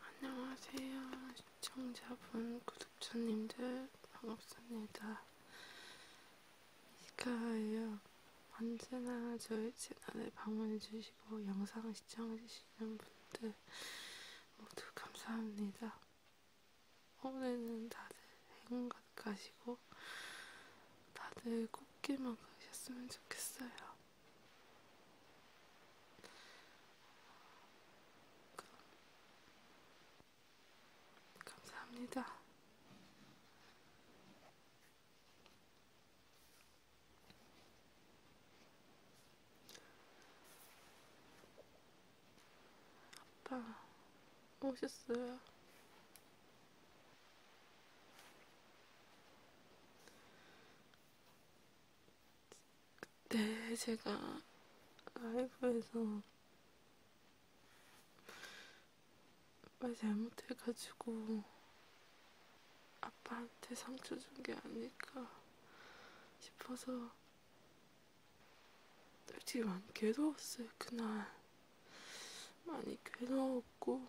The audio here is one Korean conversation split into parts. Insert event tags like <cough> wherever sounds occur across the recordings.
안녕하세요 시청자분 구독자님들 반갑습니다 이카예요 언제나 저희 채널에 방문해주시고 영상 시청해주시는 분들 모두 감사합니다. 올해는 다들 행운가 가시고 다들 꽃길만 가셨으면 좋겠어요. 그럼 감사합니다. 아빠 오셨어요? 그때 네, 제가 라이브에서 말 잘못해가지고 아빠한테 상처 준 게 아닐까 싶어서 솔직히 많이 괴로웠어요 그날 많이 괴로웠고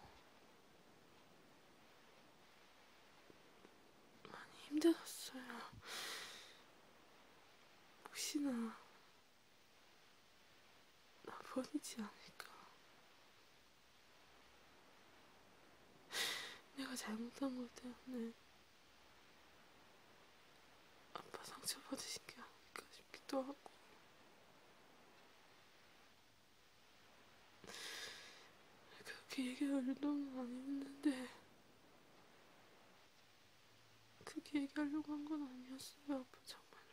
많이 힘들었어요 혹시나 나 버리지 않을까 내가 잘못한 것 때문에 아빠 상처받으신 게 아닐까 싶기도 하고 그렇게 얘기하려고 안 했는데 그렇게 얘기하려고 한 건 아니었어요 아빠 정말로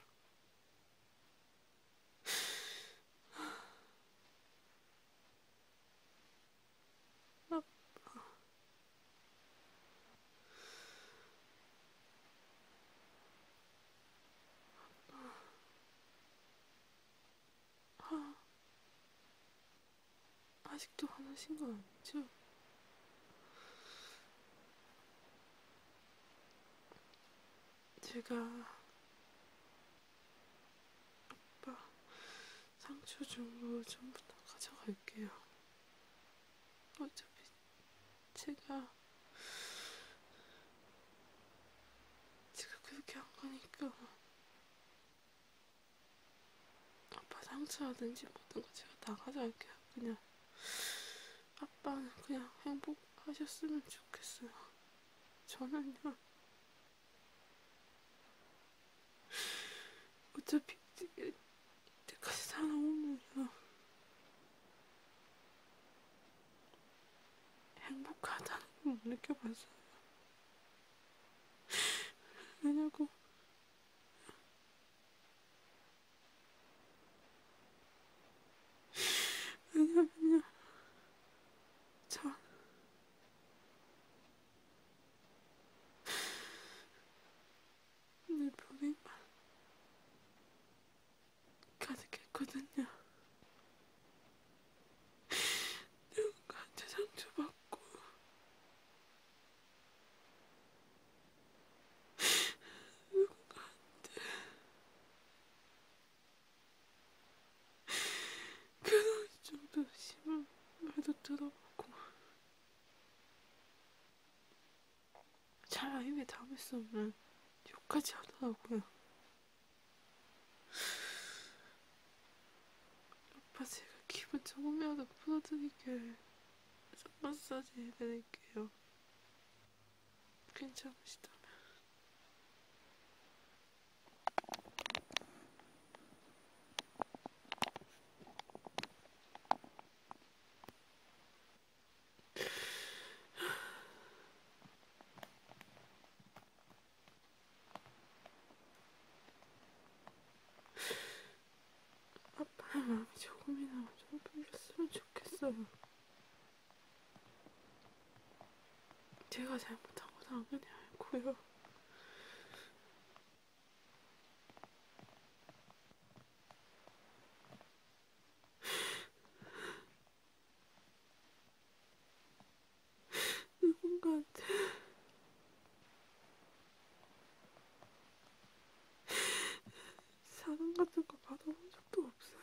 아직도 화나신 거 아니죠? 제가 아빠 상추 준거 전부 다 가져갈게요. 어차피 제가 제가 그렇게 한 거니까 아빠 상처라든지 모든 거 제가 다 가져갈게요. 그냥 아빠는 그냥 행복하셨으면 좋겠어요. 저는요. 어차피 이때까지 살아온 거요 행복하다는 걸 못 느껴봤어요. 왜냐고 왜냐면요, 저내 불행만 가득했거든요. 누군가한테 상처받고 누군가한테 그놈 좀더 심한 말도 들어봤고 차라리 입에 담을 수 없는 욕까지 하더라고요. 아빠 제가 기분 조금이라도 풀어드릴게 손 마사지 해드릴게요. 괜찮으시다면 아빠의 마음이 조금이나마 좀 풀렸으면 좋겠어요. 제가 잘못한 거 당연히 알고요. 누군가한테 사랑 같은 거 받아본 적도 없어요.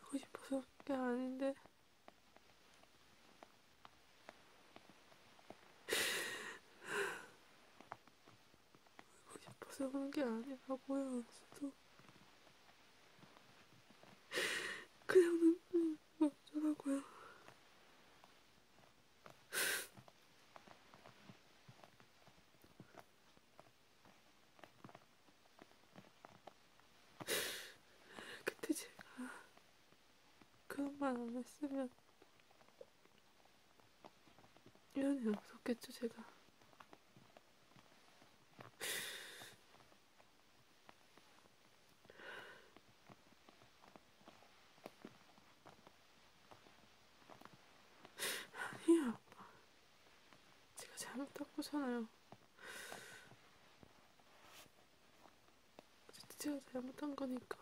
하고 싶어서 그게 아닌데. 하고 싶어서 그런 게 아니라고요. 저도 그냥 눈이 없더라고요. <sighs> 그때 제가 그런 말안 했으면 이런 일 없었겠죠, 제가. 아니에요, <sighs> 아빠. 제가 잘못한 거잖아요. 제가 잘못한 거니까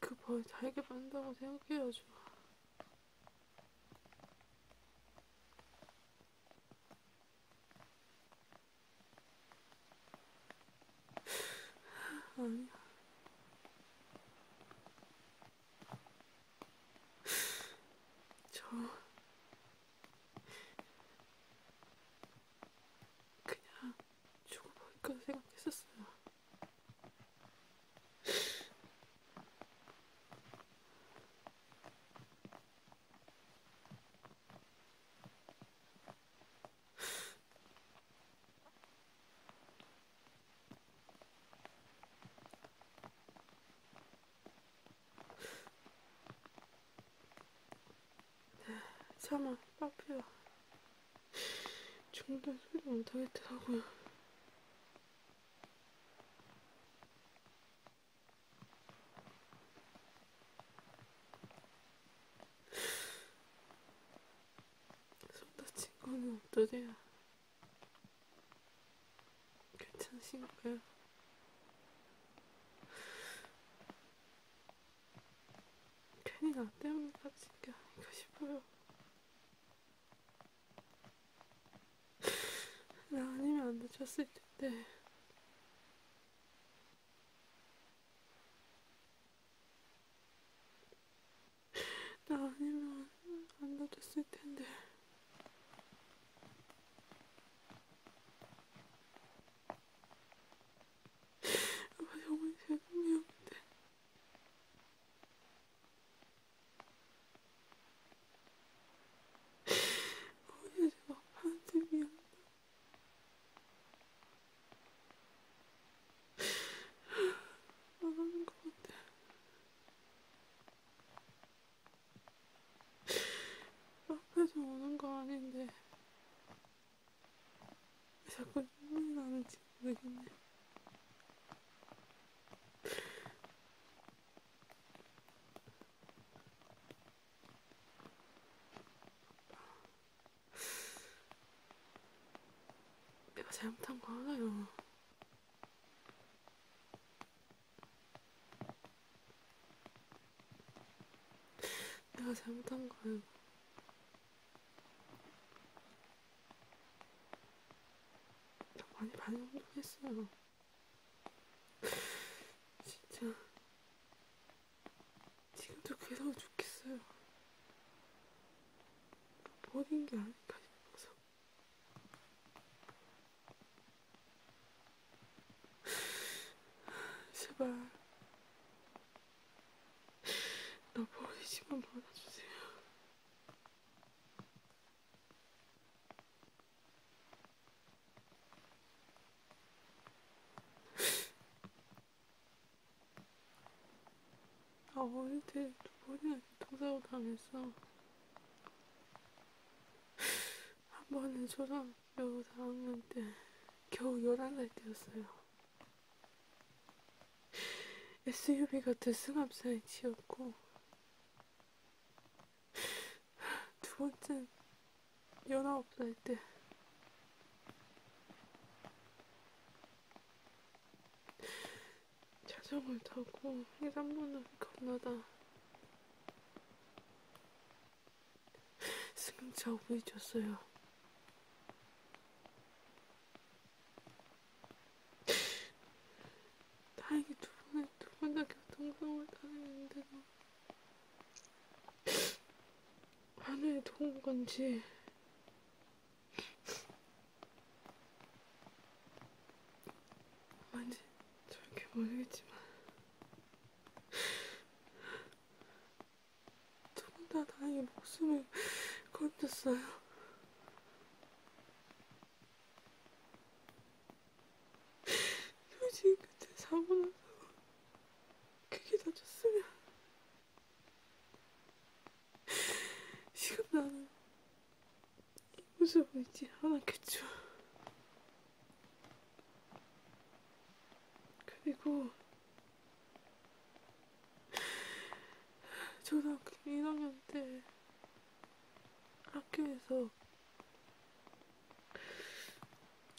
그벌 달게 받는다고 생각해야죠. 아니야. 저 그냥 죽어버릴까 생각했었어요. 참아 빠프야 중단 소리도 못하겠더라고요 손 다친 거는 어떠세요? 괜찮으신가요? 괜히 나 때문에 다친 게 아닌가 싶어요. 나 아니면 안 다쳤을 텐데. 나 아니면 안 다쳤을 텐데. 아빠 정말 죄송해요근데 어제 막판한테 미안해. 나가는 것 같아. 앞에서 오는 거 아닌데 왜 자꾸 눈물이 나는지 모르겠네 내가 잘못한 거 알아요 내가 잘못한 거야. 나 많이 많이 운동했어요. 진짜 지금도 괴로워 죽겠어요. 뭐 버린 게 아닐까 싶어서. 제발 나 버리지만 말아주세요. 아 어릴 때두 번이나 교통사고 당했어. 한 번은 초등학교 4학년 때, 겨우 11살 때였어요. SUV가 들승합사에 치였고, 두 번째는 19살 때, 자전거를 타고 해산문을 건너다 승용차 우회줬어요. 다행히 두 번에 두 번 다 교통상을 당했는데도 하늘에 도운 건지 뭔지 저렇게 모르겠지만 누군가 나의 목숨을 건졌어요. 솔직히 그때 사고 나서 그게 다쳤으면 지금 나는 무슨 보이지 않았겠죠. 그리고 초등학교 1학년 때 학교에서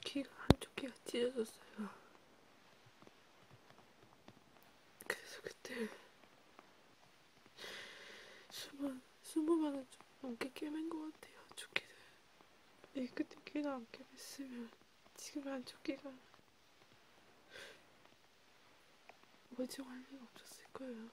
귀가 한쪽 귀가 찢어졌어요. 그래서 그때 스무, 스무만원 좀 넘게 깨맨 것 같아요, 조끼를. 이 끝에 끼나 안 깨맸으면 지금 안쪽 끼가 멀쩡할 리가 없었을 거예요.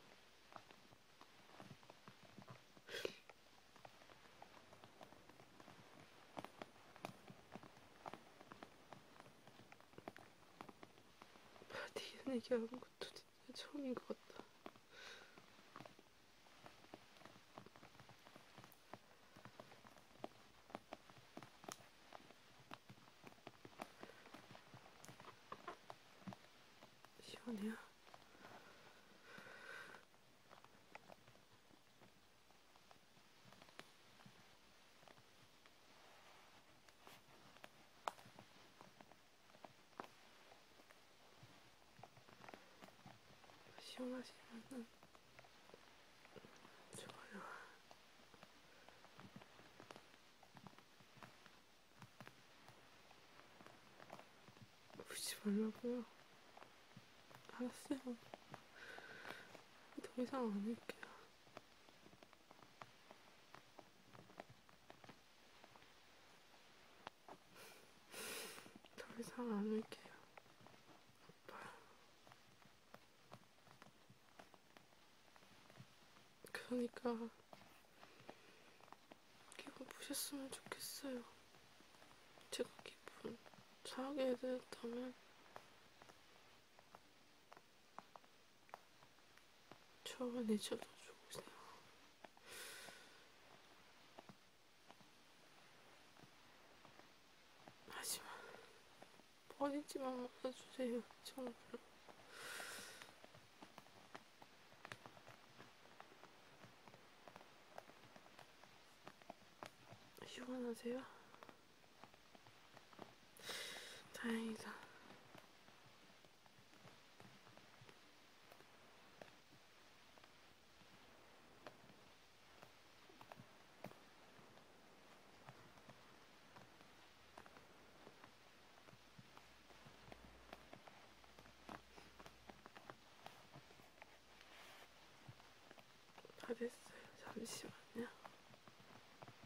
바디는 얘기 아무것도 것도 진짜 처음인 것 같다. 시원해요. 시원하시면은 좋아요. 울지 말라고요. 알았어요. 더 이상 안 할게요. 더 이상 안 울게요. 오빠. 그러니까 기분 보셨으면 좋겠어요. 제가 기분 상하게 해드렸다면 저를 내쳐다 주세요. 하지만 버리지만 말아주세요. 정말. 시원하세요? 다행이다. 다 됐어요. 잠시만요.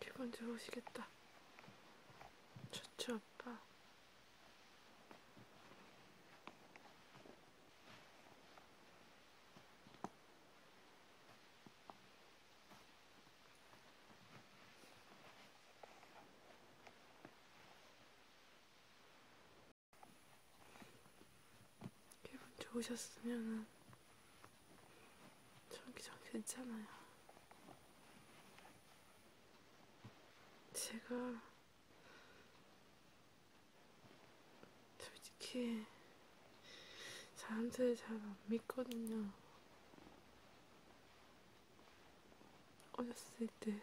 기분 좋으시겠다. 좋죠, 오빠. 기분 좋으셨으면은 전기장 괜찮아요. 제가 솔직히 사람들 잘 안 믿거든요. 어렸을 때,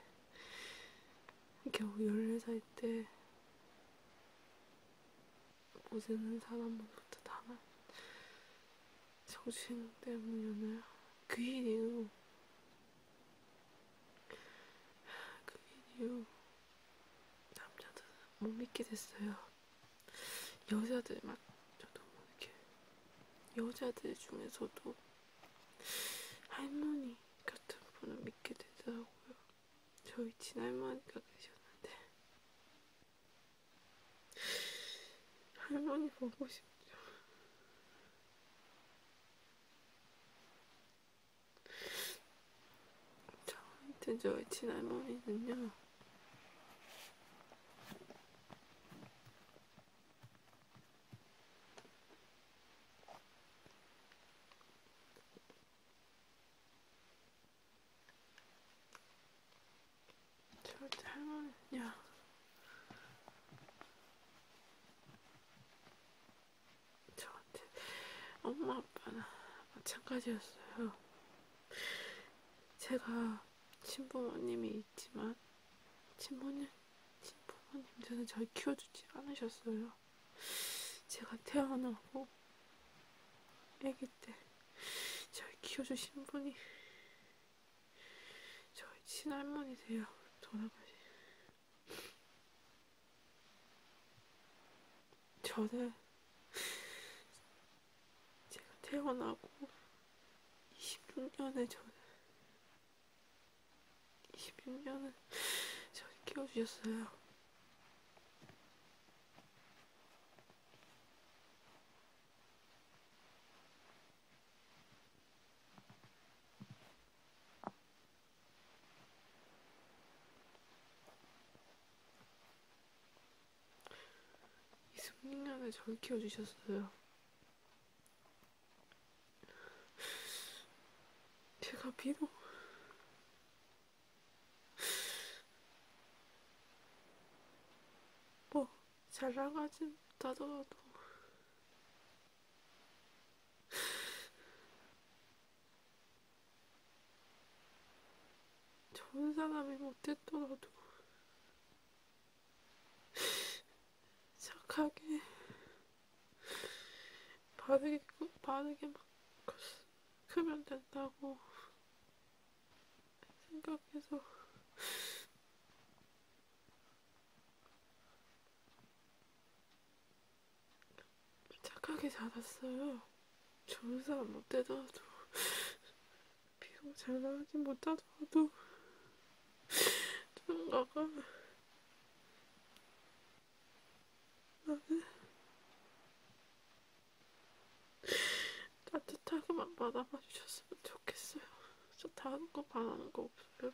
겨우 14살 때, 모르는 사람으로부터 당한 정신 때문이었나요? 그 일이요. 그 일이요. 남자들은 못 믿게 됐어요. 여자들만 저도 뭐 이렇게 여자들 중에서도 할머니 같은 분을 믿게 되더라고요. 저희 친할머니가 계셨는데 할머니 보고 싶죠. 자, 하여튼 저희 친할머니는요. 저희 할머니는요. 저한테 엄마 아빠나 마찬가지였어요. 제가 친부모님이 있지만 친부모님, 친부모님들은 저를 키워주지 않으셨어요. 제가 태어나고 아기 때 저를 키워주신 분이 저희 친할머니세요. 돌아가신 저는 제가 태어나고 26년에 저는 26년을 저를 키워주셨어요. 이승님이 잘 키워주셨어요. 제가 비록 뭐 잘나가지 못하더라도 좋은 사람이 못했더라도 착하게 바르게 바르게 막 크면 된다고 생각해서 착하게 자랐어요. 좋은 사람 못 되더라도, 비록 잘 나가지 못하더라도, 누군가가, 나는, 따뜻하게만 받아봐 주셨으면 좋겠어요. 저 다른 거 바라는 거 없어요.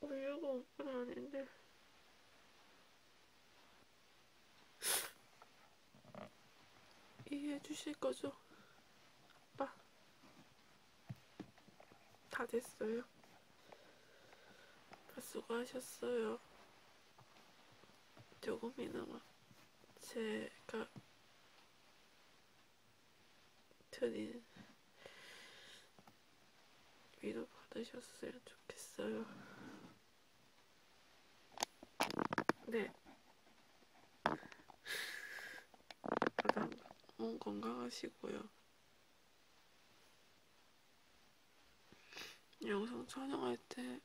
우유가 오빠는 아닌데. 이해해 주실 거죠? 오빠. 아. 다 됐어요. 오빠 수고하셨어요. 조금이나마 제가 드린 위로 받으셨으면 좋겠어요. 네. 다들 몸 건강하시고요. 영상 촬영할 때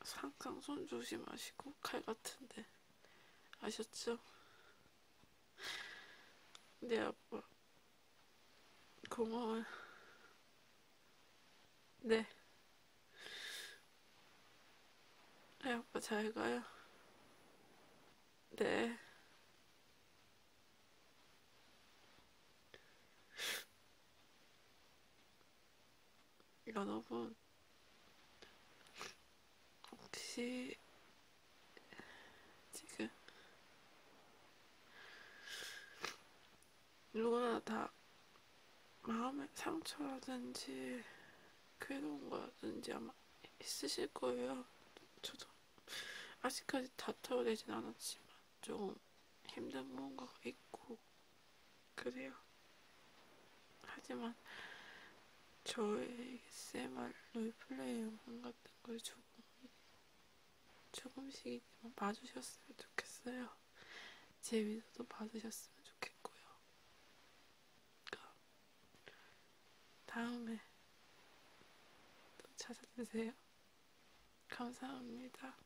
항상 손 조심하시고 칼 같은데 아셨죠? 내 아빠 뭐, 고마워요 네내 네, 아빠 잘 가요 네 여러분 혹시 지금 누구나 다 마음의 상처라든지 괴로운 거라든지 아마 있으실 거예요. 저도 아직까지 다 털어내진 않았지만 조금 힘든 뭔가가 있고 그래요. 하지만 저의 ASMR 롤플레이 영상 같은 걸 주고 조금씩이지만 봐주셨으면 좋겠어요. 제 위로도 봐주셨으면 좋겠고요. 그러니까 다음에 또 찾아주세요. 감사합니다.